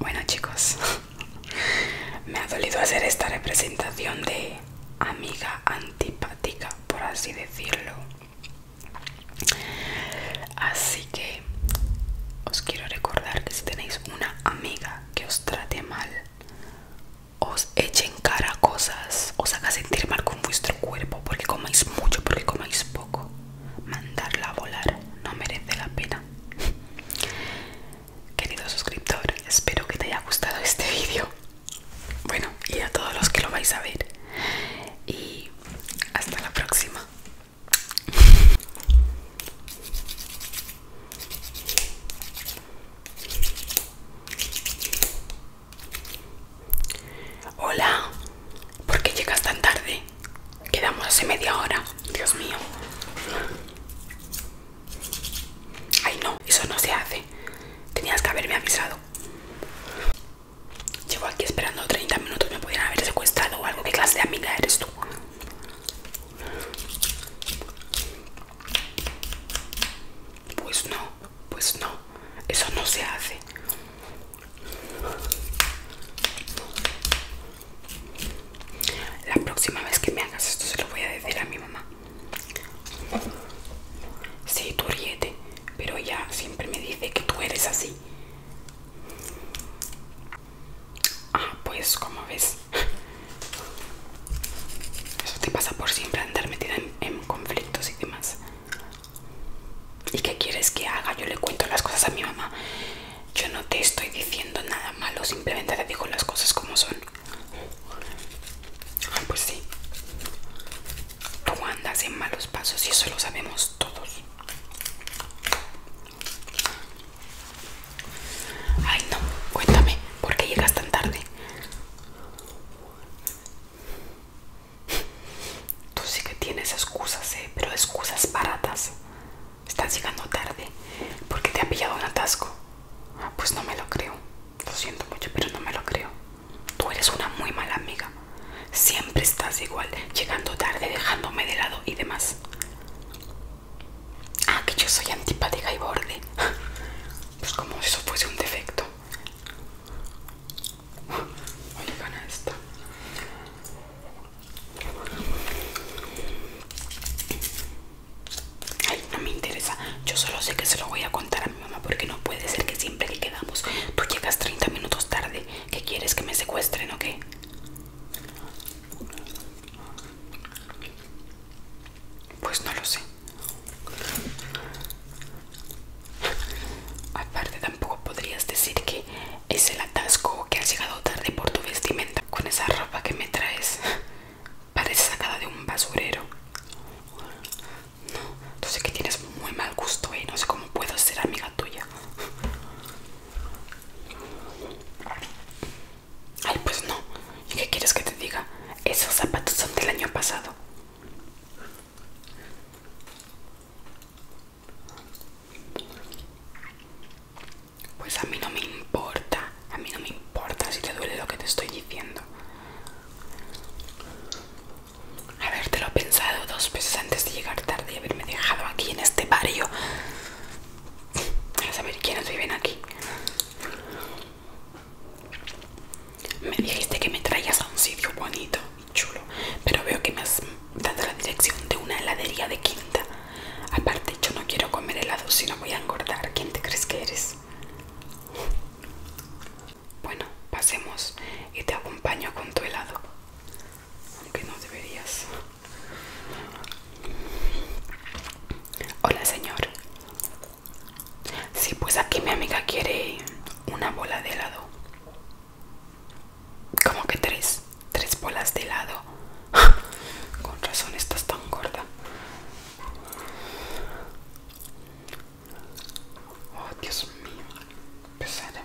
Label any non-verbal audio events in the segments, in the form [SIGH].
Bueno chicos, [LAUGHS] me ha dolido hacer esta representación de amiga antipática, por así decirlo. Así que os quiero recordar que si tenéis una amiga que os trate mal, os eche en cara cosas, os haga sentir mal con vuestro cuerpo, porque comáis mucho, porque comáis poco, mandarla a volar no merece la pena. Querido suscriptor, espero que te haya gustado este [LAUGHS] vídeo. Bueno, y a todos los que lo vais a ver. Y hasta la próxima. Hola, ¿por qué llegas tan tarde? Quedamos hace media hora. Dios mío. Ay no, eso no se hace. Tenías que haberme avisado. Llevo aquí esperando 30 minutos. Me podrían haber secuestrado o algo. ¿Qué clase de amiga eres tú? Pues no, pues no. Eso no se hace. La próxima vez que me hagas esto se lo voy a decir a mi mamá. Sí, tú ríete, pero ella siempre me dice que tú eres así. Ah, pues como ves. Eso te pasa por siempre andar metida en, en conflictos y demás. ¿Y qué quieres que haga? Yo le cuento las cosas a mi mamá yo no te estoy diciendo nada malo, simplemente te digo las cosas como son. pues sí. Tú andas en malos pasos y eso lo sabemos todos. Ay, no, cuéntame, ¿por qué llegas tan tarde? Tú sí que tienes excusas, ¿eh? pero excusas baratas. Estás llegando tarde porque te ha pillado un atasco. Ah, pues no me lo creo. Lo siento mucho, pero no me lo creo. Tú eres una muy mala amiga. Siempre estás igual, llegando tarde, dejándome de lado y demás. Ah, que yo soy antipática y borde. [LAUGHS] Pues como si eso fuese un defecto. Oigan a esta. Ay, no me interesa. Yo solo sé que se lo voy a contar a mi mamá porque no puede ser que siempre que quedamos tú llegas 30 minutos tarde. ¿Qué quieres que me secuestren o qué? Pues no lo sé. Aparte tampoco podrías decir que es el atasco que has llegado tarde por tu vestimenta. Con esa ropa que me traes, [LAUGHS] parece sacada de un basurero. No, tú sé que tienes muy mal gusto y ¿eh? no sé cómo puedo ser amiga tuya. Ay, pues no. ¿Y qué quieres que te diga? Esos zapatos son del año pasado. Pues a mí no me importa, a mí no me importa si te duele lo que te estoy diciendo. Habértelo pensado dos veces antes de llegar tarde y haberme dejado aquí en este barrio. A saber quiénes viven aquí. Me dijiste que me traías a un sitio bonito y chulo, pero veo que me has dando la dirección de una heladería de quinta. Aparte, yo no quiero comer helado si no voy a engordar. ¿Quién te crees que eres? Bueno, pasemos y te acompaño con tu helado. Aunque no deberías. Hola, señor. Sí, pues aquí mi amiga quiere una bola de helado como que tres, tres bolas de lado. [LAUGHS] Con razón estás tan gorda. Oh, Dios mío, pesada.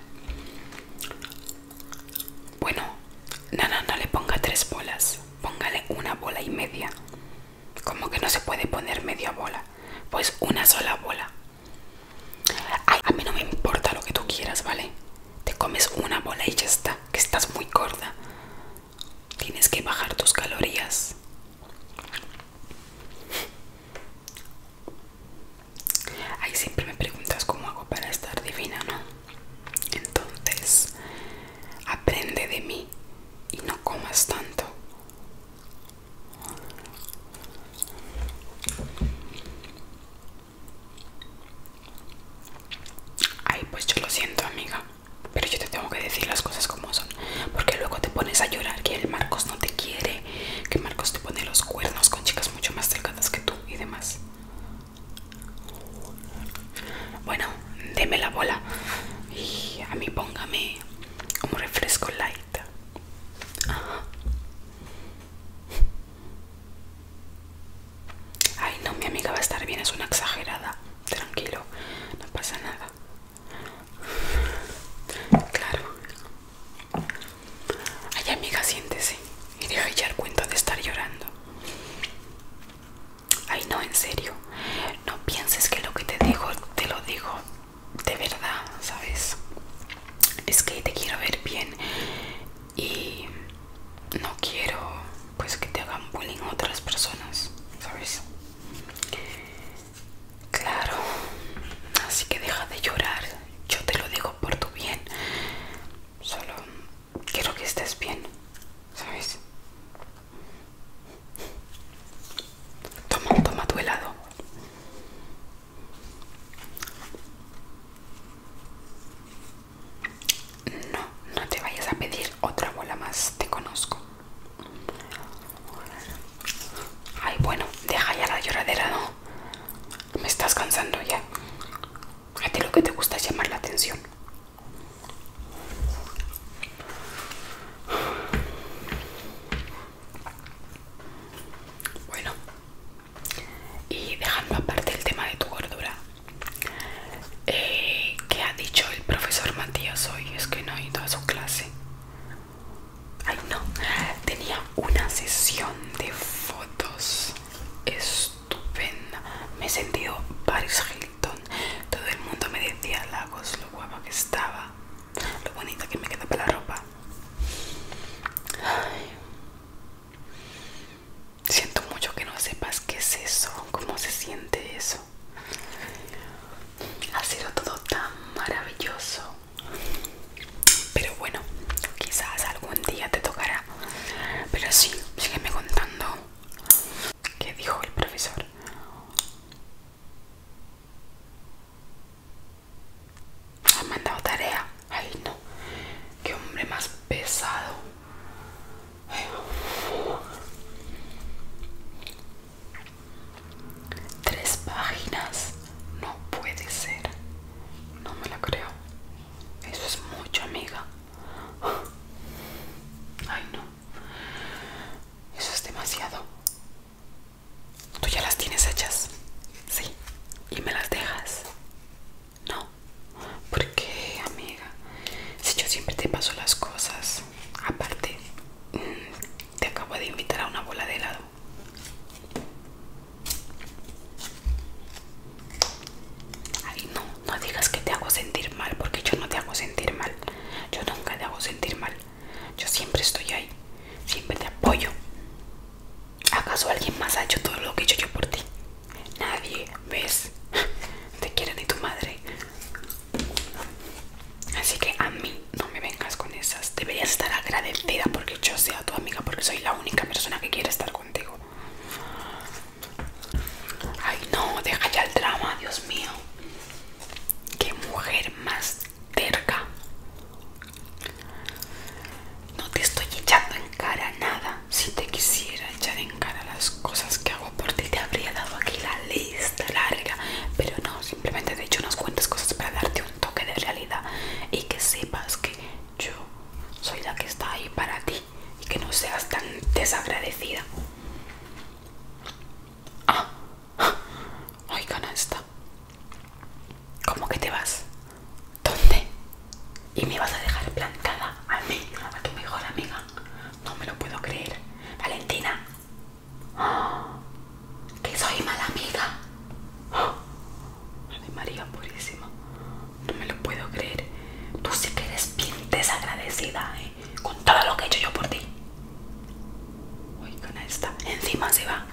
Bueno, no, no, le ponga tres bolas. Póngale una bola y media. Como que no se puede poner media bola. Pues una sola bola. a mí no me importa lo que tú quieras, ¿vale? Te comes una bola y ya está, que estás muy gorda. Tienes que bajar tus calorías. Ahí siempre me preguntas cómo hago para estar divina, ¿no? Entonces, aprende de mí y no comas tanto. Ay, pues yo lo siento, amiga. Pero yo te tengo que decir las cosas como son. Porque luego te pones a llorar que el Marcos no te quiere. Que Marcos te pone los cuernos con chicas mucho más delgadas que tú y demás. Bueno, deme la bola. Y a mí póngame Como refresco light. Ay, no, mi amiga va a estar bien, es una exagerada. Tranquilo, no pasa nada. Claro. Ay, amiga, siéntese. Y deja echar cuenta de estar llorando. Ay, no, en serio. No pienses que lo que te digo, te lo digo de verdad, ¿sabes? Es que te quiero ver bien y no quiero pues que te hagan bullying otras personas, ¿sabes? Claro, así que deja de llorar, yo te lo digo por tu bien, solo quiero que estés bien, ¿sabes? Toma, toma tu helado. No, no te vayas a pedir otra bola más, te conozco. Ay, bueno, deja ya la lloradera, ¿no? Me estás cansando ya. A ti lo que te gusta es llamar la atención. Bueno, y dejando aparte el tema de tu gordura eh, ¿Qué que ha dicho el profesor Matías hoy es que no he ido a su clase ay no tenía una sesión de fotos estupenda me he sentido Paris Hilton todo el mundo me decía Lagos lo guapa que estaba lo bonita que me queda para la ropa Siento mucho que no sepas qué es eso, cómo se siente eso. Ha sido todo tan maravilloso. Pero bueno, quizás algún día te tocará. Pero sí, sígueme contando. ¿Qué dijo el profesor? ha mandado tarea? Ay, no. Qué hombre más pesado. Tres páginas. No puede ser. No me la creo. Eso es mucho, amiga. Ay, no. Eso es demasiado. ¿Tú ya las tienes hechas? Sí. ¿Y me las dejas? No, porque amiga, si yo siempre te paso las cosas, aparte mm, te acabo de invitar a una bola de helado. Ay, no, no digas que te hago sentir mal, porque yo no te hago sentir mal. Yo nunca te hago sentir mal. Yo siempre estoy ahí, siempre te apoyo. ¿Acaso alguien más ha hecho todo lo que he hecho yo por ti? Nadie, ¿ves? [LAUGHS] Te quiere ni tu madre. Así que a mí no me vengas con esas. Deberías estar agradecida porque yo sea tu amiga, porque soy la única persona que quiere estar contigo. Ay, no, deja ya el drama, Dios mío. Qué mujer más terca. No te estoy echando en cara nada. Si te quisiera echar en cara las cosas que hago por ti, te habría dado aquí la lista larga. Pero no, simplemente te he hecho unas cuantas cosas para darte un toque de realidad y que sepas que yo soy la que está ahí para ti y que no seas tan desagradecida. Ah, ah, está! esta. ¿Cómo que te vas? ¿Dónde? Y me vas a dejar plantada a mí, a tu mejor amiga. No me lo puedo creer. Valentina. [GASPS] que soy mala amiga. [GASPS] María Purísima. No me lo puedo creer. Tú sí que eres bien desagradecida, ¿eh? Con todo lo que he hecho yo por ti. Uy, con esta. Encima se va.